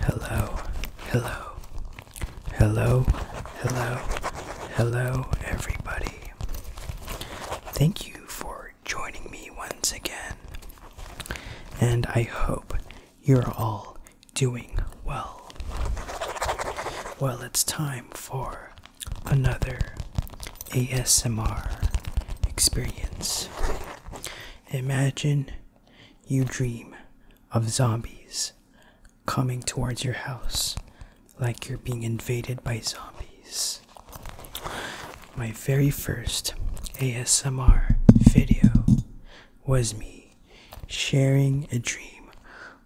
Hello, hello, hello, hello, hello, everybody. Thank you for joining me once again, and I hope you're all doing well. Well, it's time for another ASMR experience. Imagine you dream of zombies coming towards your house like you're being invaded by zombies. My very first ASMR video was me sharing a dream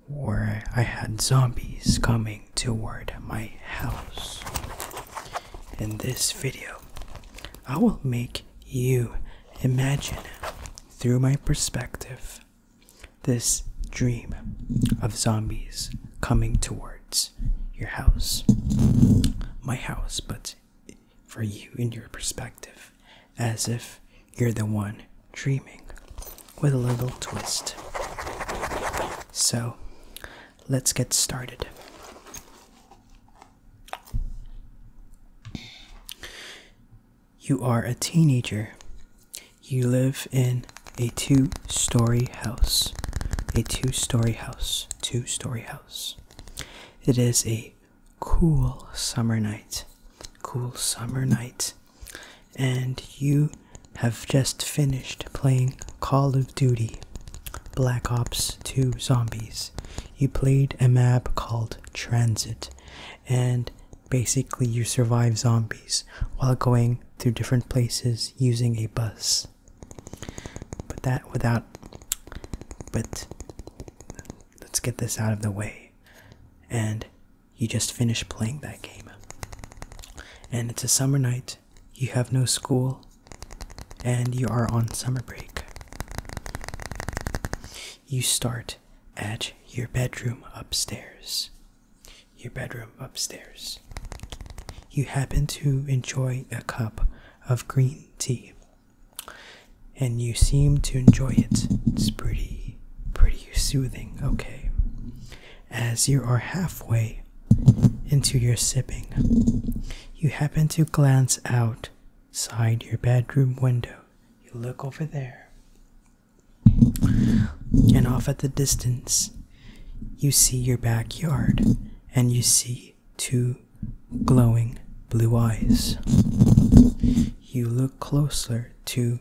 where I had zombies coming toward my house. In this video, I will make you imagine through my perspective this dream of zombies coming towards your house. My house, but for you in your perspective, as if you're the one dreaming with a little twist. So, let's get started. You are a teenager. You live in a two story house. A two story house. Two story house. It is a cool summer night. Cool summer night. And you have just finished playing Call of Duty. Black Ops 2 Zombies, you played a map called Transit, and basically you survive zombies while going through different places using a bus. But that without. But let's get this out of the way. And you just finished playing that game. And it's a summer night, you have no school and you are on summer break. You start at your bedroom upstairs. Your bedroom upstairs. You happen to enjoy a cup of green tea. And you seem to enjoy it. It's pretty, pretty soothing, okay. As you are halfway into your sipping. You happen to glance outside your bedroom window. You look over there, and off at the distance, you see your backyard and you see two glowing blue eyes. You look closer to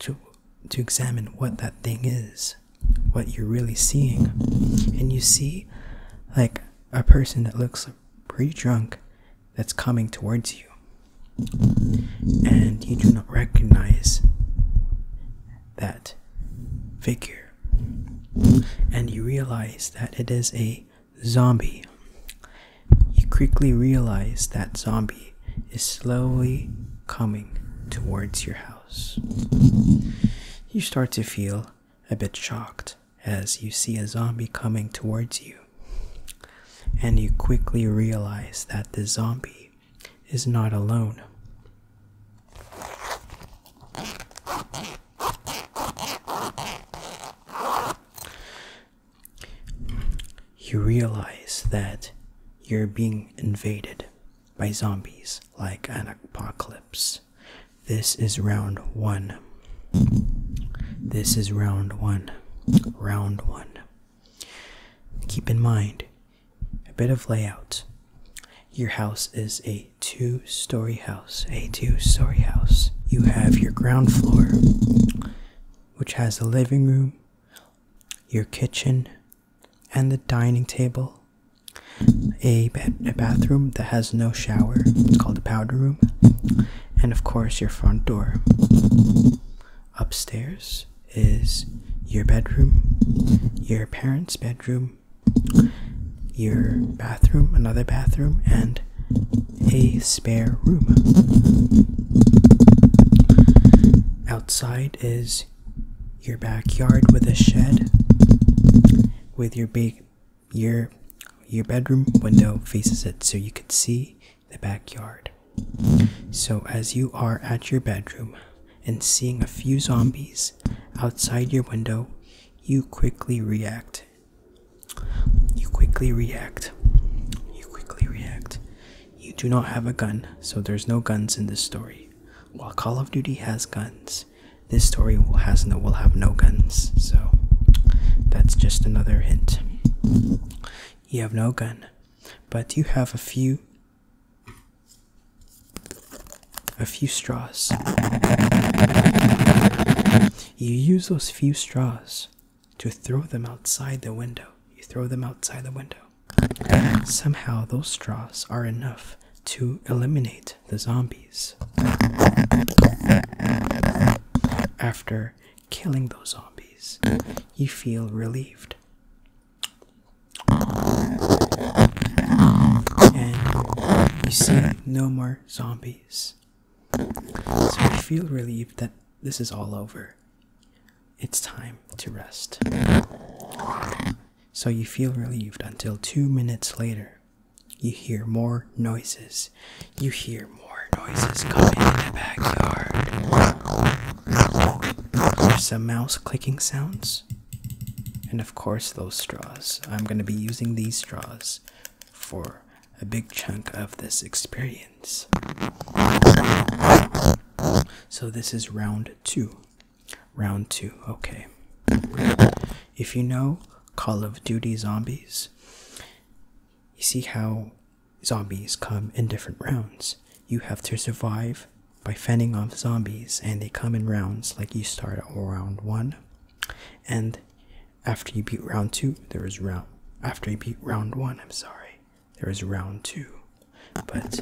to to examine what that thing is what you're really seeing. And you see, like, a person that looks pretty drunk that's coming towards you. And you do not recognize that figure. And you realize that it is a zombie. You quickly realize that zombie is slowly coming towards your house. You start to feel a bit shocked as you see a zombie coming towards you, and you quickly realize that the zombie is not alone. You realize that you're being invaded by zombies like an apocalypse. This is round one. This is round one. Round one. Keep in mind a bit of layout. Your house is a two story house. A two story house. You have your ground floor, which has a living room, your kitchen, and the dining table. A, a bathroom that has no shower, it's called a powder room, and of course, your front door. Upstairs is your bedroom, your parents' bedroom, your bathroom, another bathroom, and a spare room. Outside is your backyard with a shed with your big your your bedroom window faces it so you can see the backyard. So as you are at your bedroom and seeing a few zombies outside your window, you quickly react. You quickly react. You quickly react. You do not have a gun, so there's no guns in this story. While Call of Duty has guns, this story will has no will have no guns. So that's just another hint. You have no gun, but you have a few a few straws. You use those few straws to throw them outside the window. You throw them outside the window. Somehow those straws are enough to eliminate the zombies. After killing those zombies, you feel relieved. And you see no more zombies. So you feel relieved that this is all over. It's time to rest so you feel relieved until two minutes later. You hear more noises. You hear more noises coming in the backyard. There's some mouse clicking sounds. And of course, those straws. I'm going to be using these straws for a big chunk of this experience. So, this is round two. Round 2. Okay. If you know Call of Duty Zombies, you see how zombies come in different rounds. You have to survive by fending off zombies, and they come in rounds like you start round 1. And after you beat round 2, there is round. After you beat round 1, I'm sorry, there is round 2. But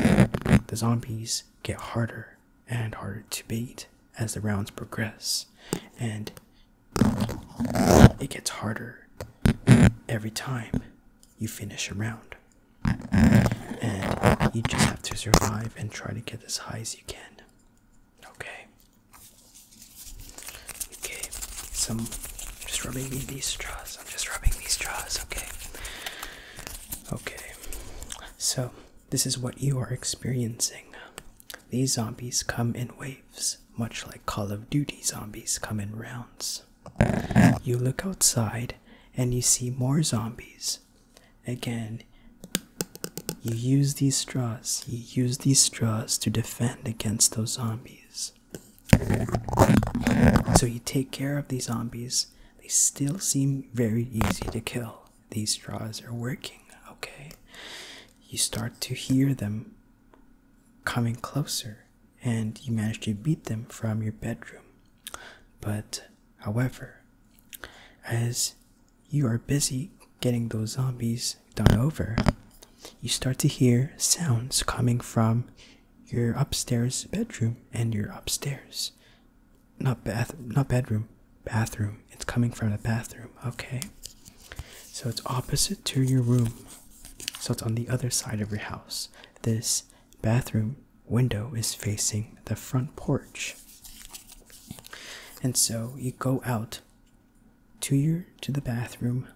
the zombies get harder and harder to beat as the rounds progress, and it gets harder every time you finish a round. And you just have to survive and try to get as high as you can. Okay. Okay. Some just rubbing these straws. I'm just rubbing these straws. Okay. Okay. So this is what you are experiencing. These zombies come in waves, much like Call of Duty zombies come in rounds. You look outside and you see more zombies. Again, you use these straws. You use these straws to defend against those zombies. So you take care of these zombies. They still seem very easy to kill these straws are working, okay? You start to hear them coming closer and you manage to beat them from your bedroom. But, however, as you are busy getting those zombies done over, you start to hear sounds coming from your upstairs bedroom and your upstairs. Not bath, not bedroom, bathroom. It's coming from the bathroom. Okay. So it's opposite to your room. So it's on the other side of your house. This bathroom window is facing the front porch. And so you go out to your to the bathroom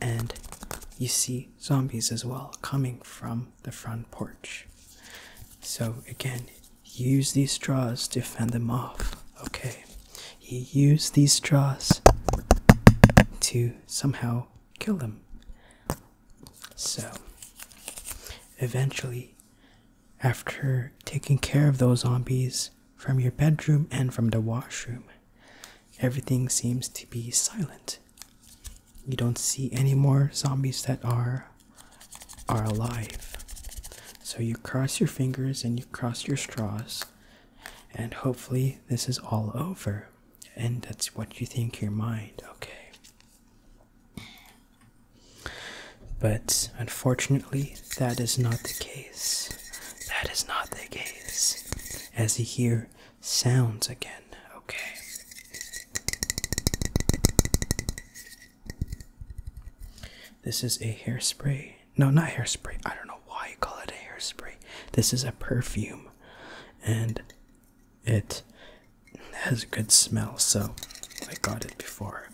and you see zombies as well coming from the front porch. So again, Use these straws to fend them off. Okay. He used these straws to somehow kill them. So, eventually, after taking care of those zombies from your bedroom and from the washroom, everything seems to be silent. You don't see any more zombies that are are alive. So you cross your fingers and you cross your straws, and hopefully this is all over. And that's what you think your mind, okay? But unfortunately, that is not the case. That is not the case. As you hear sounds again, okay? This is a hairspray. No, not hairspray. I don't know why you call it a hairspray. This is a perfume and it has a good smell, so I got it before.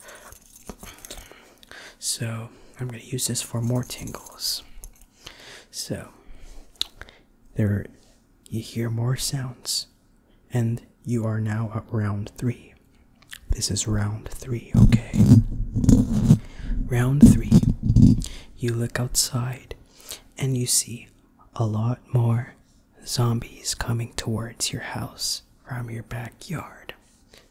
So I'm going to use this for more tingles. So there you hear more sounds and you are now at round three. This is round three, okay? Round three, you look outside and you see a lot more zombies coming towards your house from your backyard.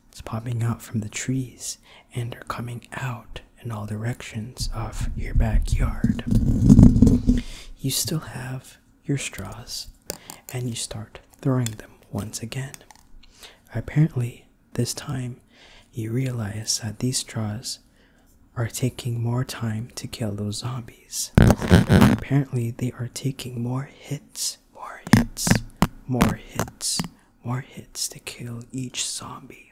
It's popping out from the trees and are coming out in all directions of your backyard. You still have your straws and you start throwing them once again. Apparently, this time you realize that these straws are taking more time to kill those zombies. Apparently, they are taking more hits, more hits, more hits, more hits to kill each zombie.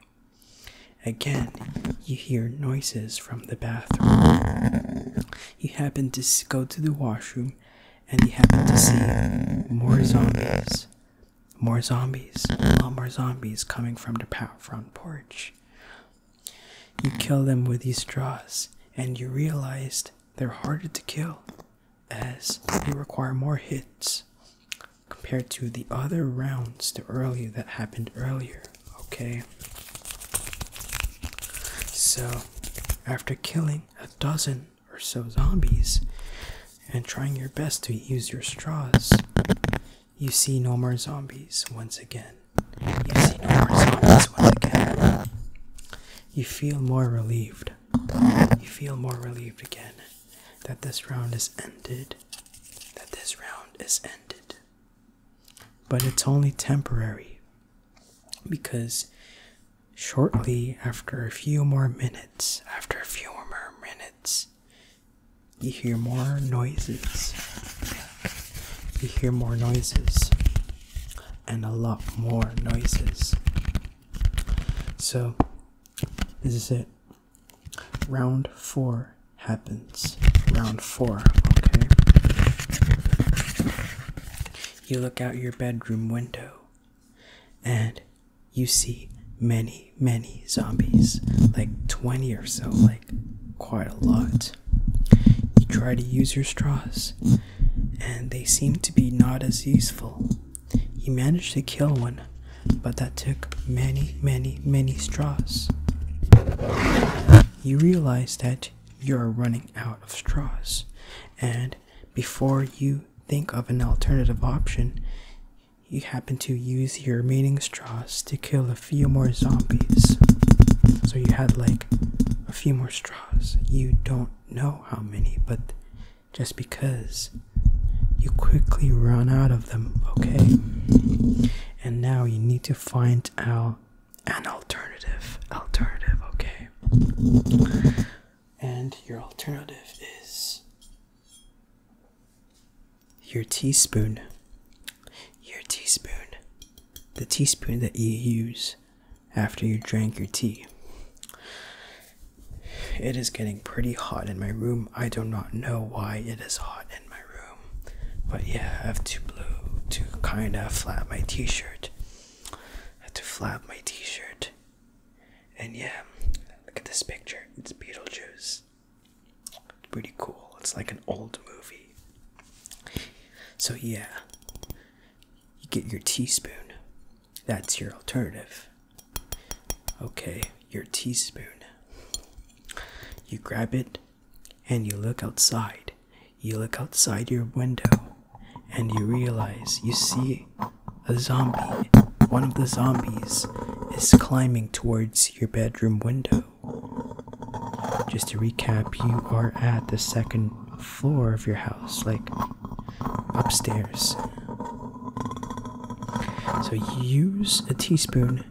Again, you hear noises from the bathroom. You happen to go to the washroom and you happen to see more zombies, more zombies, a lot more zombies coming from the front porch. You kill them with these straws and you realized they're harder to kill as they require more hits compared to the other rounds the earlier that happened earlier okay so after killing a dozen or so zombies and trying your best to use your straws, you see no more zombies once again. You see no more zombies once again. You feel more relieved. You feel more relieved again that this round is ended. That this round is ended. But it's only temporary because shortly after a few more minutes, after a few more minutes, you hear more noises. You hear more noises and a lot more noises. So, this is it. Round four happens. Round four, okay? you look out your bedroom window and you see many, many zombies, like 20 or so, like quite a lot. You try to use your straws, and they seem to be not as useful. You manage to kill one, but that took many, many, many straws. You realize that you're running out of straws. And before you think of an alternative option, you happen to use your remaining straws to kill a few more zombies. So you had like a few more straws. You don't know how many, but just because you quickly run out of them, okay? And now you need to find out an alternative. Alternative, okay. And your alternative is your teaspoon. Your teaspoon. The teaspoon that you use after you drank your tea. It is getting pretty hot in my room. I do not know why it is hot in my room. But yeah, I have to blue to kind of flap my t shirt. I had to flap my t-shirt. And yeah, look at this picture. It's Beetlejuice. Pretty cool. It's like an old movie. So yeah, you get your teaspoon. That's your alternative. Okay, your teaspoon. You grab it and you look outside you look outside your window and you realize you see a zombie. One of the zombies is climbing towards your bedroom window. Just to recap, you are at the second floor of your house, like upstairs. So use a teaspoon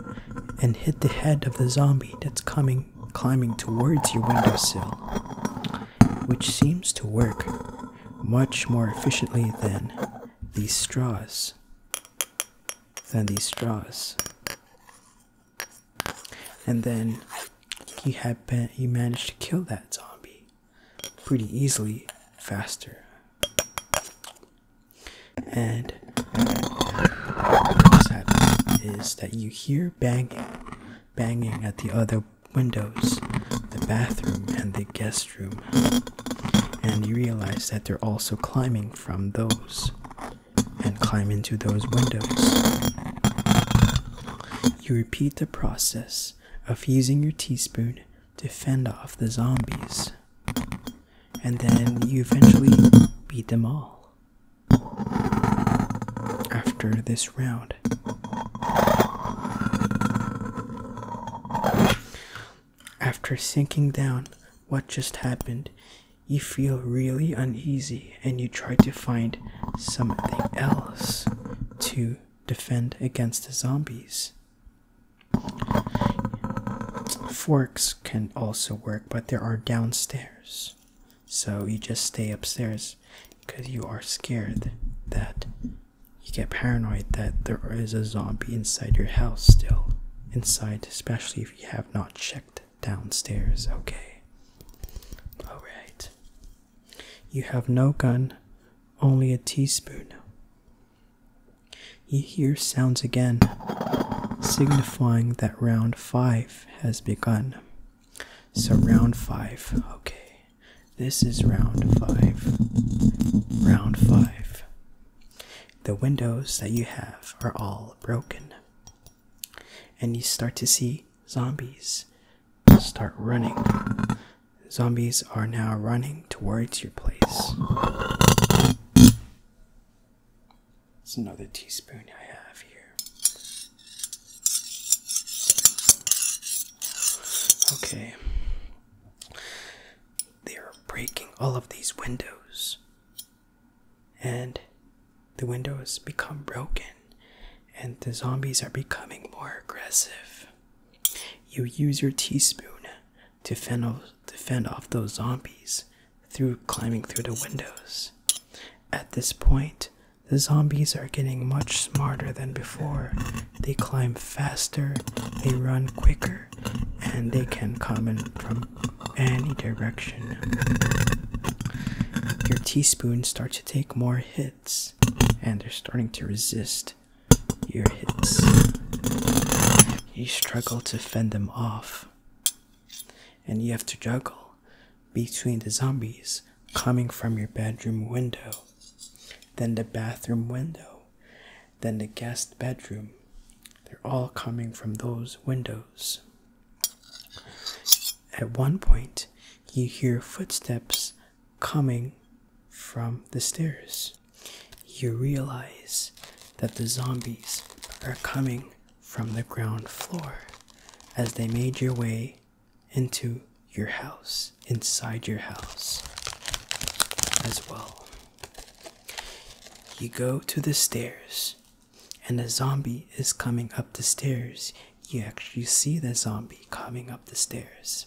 and hit the head of the zombie that's coming climbing towards your windowsill which seems to work much more efficiently than these straws. Than these straws. And then you had been, he managed to kill that zombie pretty easily, faster. And what happens is that you hear banging banging at the other windows, the bathroom, and the guest room. And you realize that they're also climbing from those and climb into those windows. You repeat the process of using your teaspoon to fend off the zombies. And then you eventually beat them all after this round. After sinking down, what just happened? You feel really uneasy and you try to find something else to defend against the zombies. Forks can also work, but there are downstairs. So you just stay upstairs because you are scared that you get paranoid that there is a zombie inside your house still. Inside, especially if you have not checked downstairs, okay? Alright. You have no gun, only a teaspoon. You hear sounds again, signifying that round five has begun. So round five. Okay. This is round five. Round five. The windows that you have are all broken. And you start to see zombies start running. Zombies are now running towards your place. It's another teaspoon I have here. Okay. They are breaking all of these windows. And the windows become broken. And the zombies are becoming more aggressive. You use your teaspoon to fend off, to fend off those zombies through climbing through the windows. At this point, the zombies are getting much smarter than before. They climb faster, they run quicker, and they can come in from any direction. Your teaspoons start to take more hits, and they're starting to resist your hits. You struggle to fend them off, and you have to juggle between the zombies coming from your bedroom window, then the bathroom window, then the guest bedroom. They're all coming from those windows. At one point, you hear footsteps coming from the stairs. You realize that the zombies are coming from the ground floor as they made your way into your house, inside your house as well. You go to the stairs, and a zombie is coming up the stairs. You actually see the zombie coming up the stairs.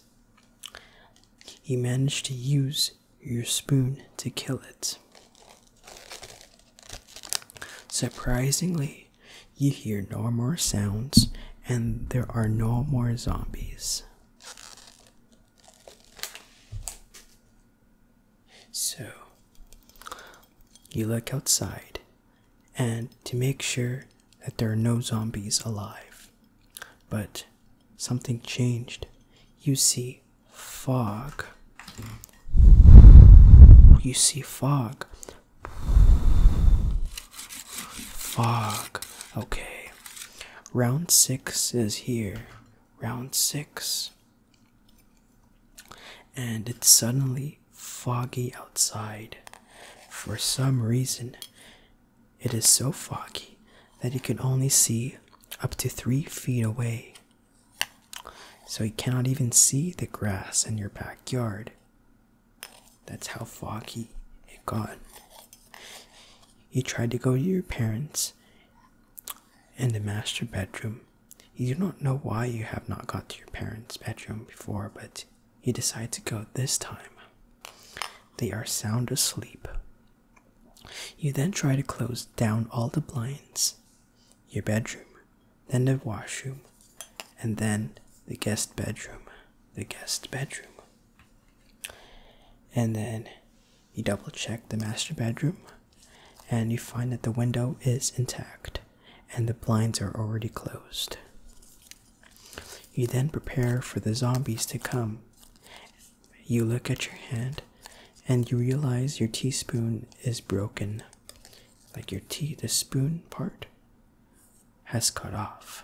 You manage to use your spoon to kill it. Surprisingly, you hear no more sounds, and there are no more zombies. So, you look outside, and to make sure that there are no zombies alive. But something changed. You see fog. You see fog Fuck. Okay. Round six is here. Round six. And it's suddenly foggy outside. For some reason, it is so foggy that you can only see up to three feet away. So you cannot even see the grass in your backyard. That's how foggy it got. You try to go to your parents in the master bedroom. You do not know why you have not got to your parents' bedroom before, but you decide to go this time. They are sound asleep. You then try to close down all the blinds. Your bedroom then the washroom, and then the guest bedroom. The guest bedroom. And then you double check the master bedroom, and you find that the window is intact and the blinds are already closed. You then prepare for the zombies to come. You look at your hand and you realize your teaspoon is broken. Like your tea, the spoon part has cut off.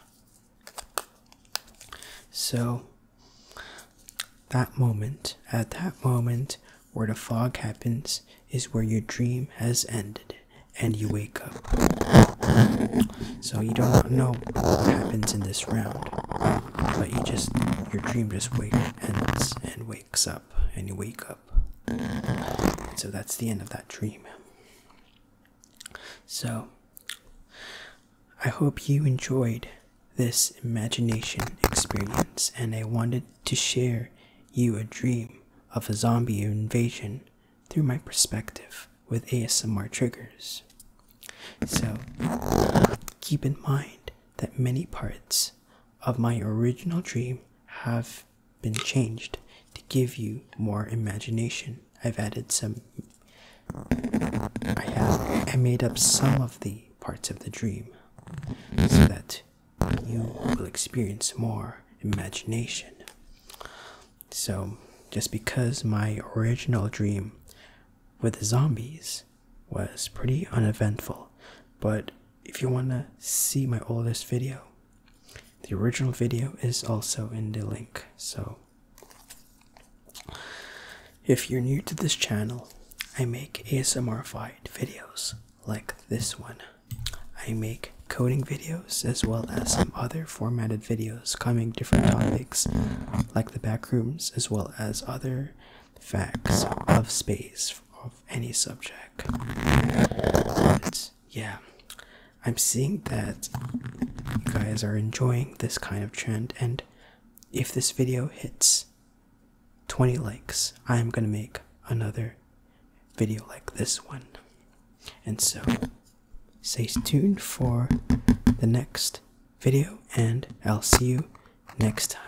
So, that moment, at that moment where the fog happens, is where your dream has ended and you wake up. So, you don't know what happens in this round, but you just, your dream just wakes, ends and wakes up, and you wake up up. So that's the end of that dream. So I hope you enjoyed this imagination experience and I wanted to share you a dream of a zombie invasion through my perspective with ASMR triggers. So keep in mind that many parts of my original dream have been changed to give you more imagination. I've added some. I have. I made up some of the parts of the dream so that you will experience more imagination. So, just because my original dream with the zombies was pretty uneventful, but if you want to see my oldest video, the original video is also in the link. So, if you're new to this channel, I make ASMR-fied videos like this one. I make coding videos as well as some other formatted videos covering different topics like the backrooms as well as other facts of space of any subject yeah, I'm seeing that you guys are enjoying this kind of trend, and if this video hits 20 likes, I'm gonna make another video like this one. And so, stay tuned for the next video, and I'll see you next time.